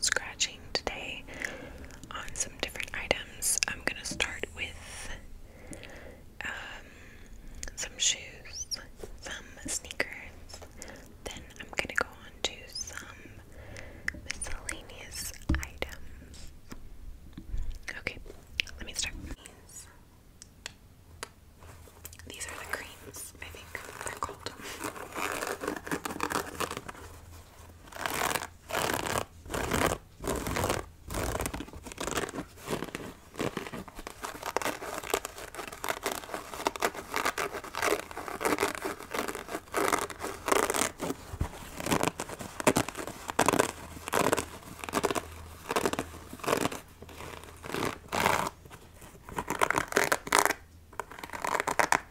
scratching today on some different items. I'm gonna start with um, some shoes, some sneakers, then I'm gonna go on to some miscellaneous items. Okay, let me start. These are the beans, I think they're called.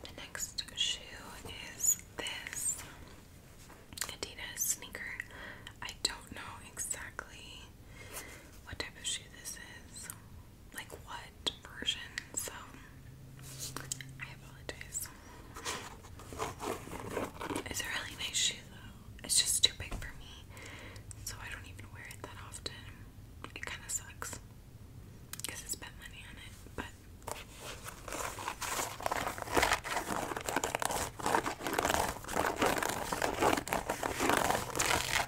The next shoe is this Adidas sneaker. I don't know exactly what type of shoe this is like what version, so I apologize. It's a really nice shoe though. It's just too big for me, so I don't even wear it that often. It kind of sucks because I spent money on it, but.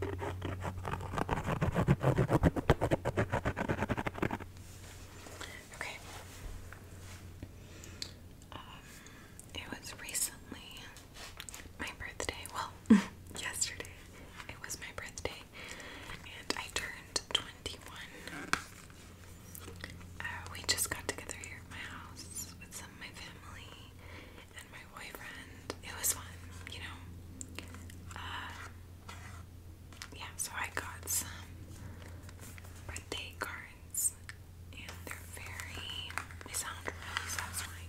Okay. Um, it was recently my birthday. Well, yesterday it was my birthday, and I turned 21. Uh, we just got together here at my house with some of my family, and my boyfriend. It was fun, you know. Uh, yeah, so I got some birthday cards, and they're very, they sound really satisfying.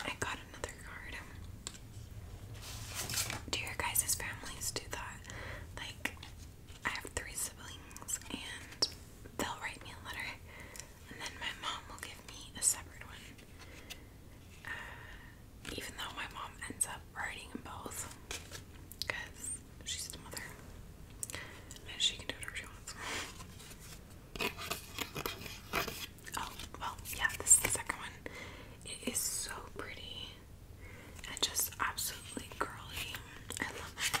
I got another card. Do your guys' families do that? Like, I have three siblings, and they'll write me a letter, and then my mom will give me a separate one. Uh, even though my mom ends up writing them both, because she's the mother, and she can do whatever she Oh, well, yeah, this is the second one. It is so pretty and just absolutely curly. I love it.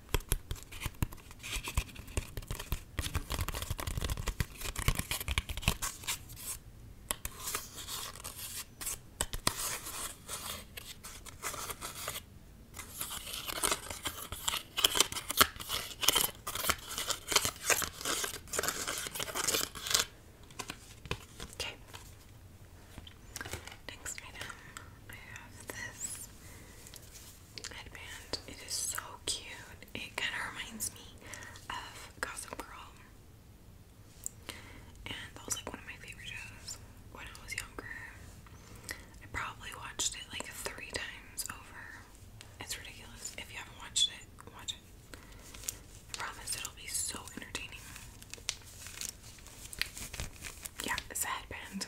Okay. Next item, I have this headband. It is so cute. It kind of reminds me of Cosmo Girl. And that was like one of my favorite shows when I was younger. I probably watched it like three times over. It's ridiculous. If you haven't watched it, watch it. I promise it'll be so entertaining. Yeah, it's a headband.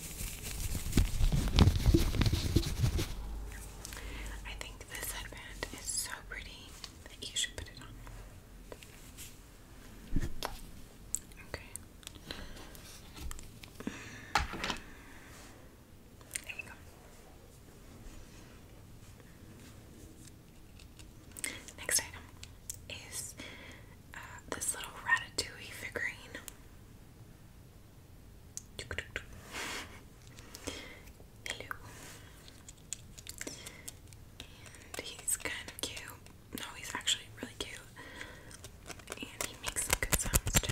I think this headband is so pretty that you should put it on. Okay. There you go. Next item is uh, this little ratatouille figurine. Hello. And he's kind of cute. No, he's actually really cute. And he makes good sounds too.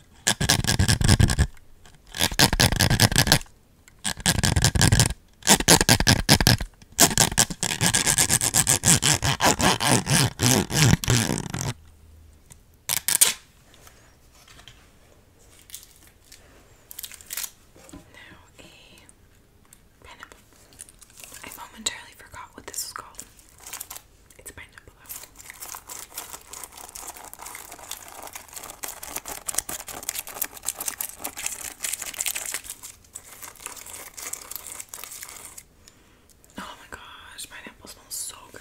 Now a pineapple. I momentarily forgot what this was called. It's pineapple Oh my gosh, pineapple smells so good.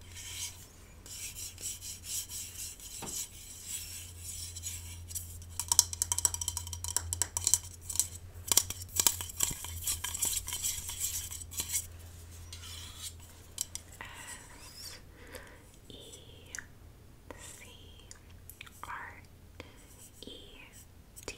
S E C R E T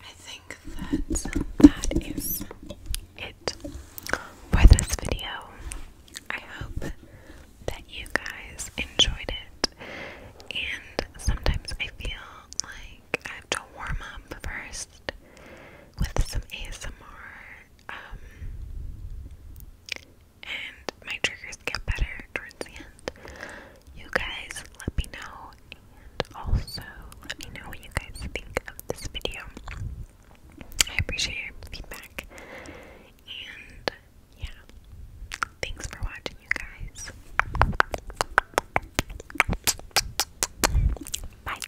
I think that that is it for this video. I hope that you guys enjoyed it. And sometimes I feel like I have to warm up first with some ASMR um, and my triggers get better towards the end. You guys, let me know, and also let me know what you guys think of this video. I appreciate your feedback, and yeah, thanks for watching, you guys. Bye.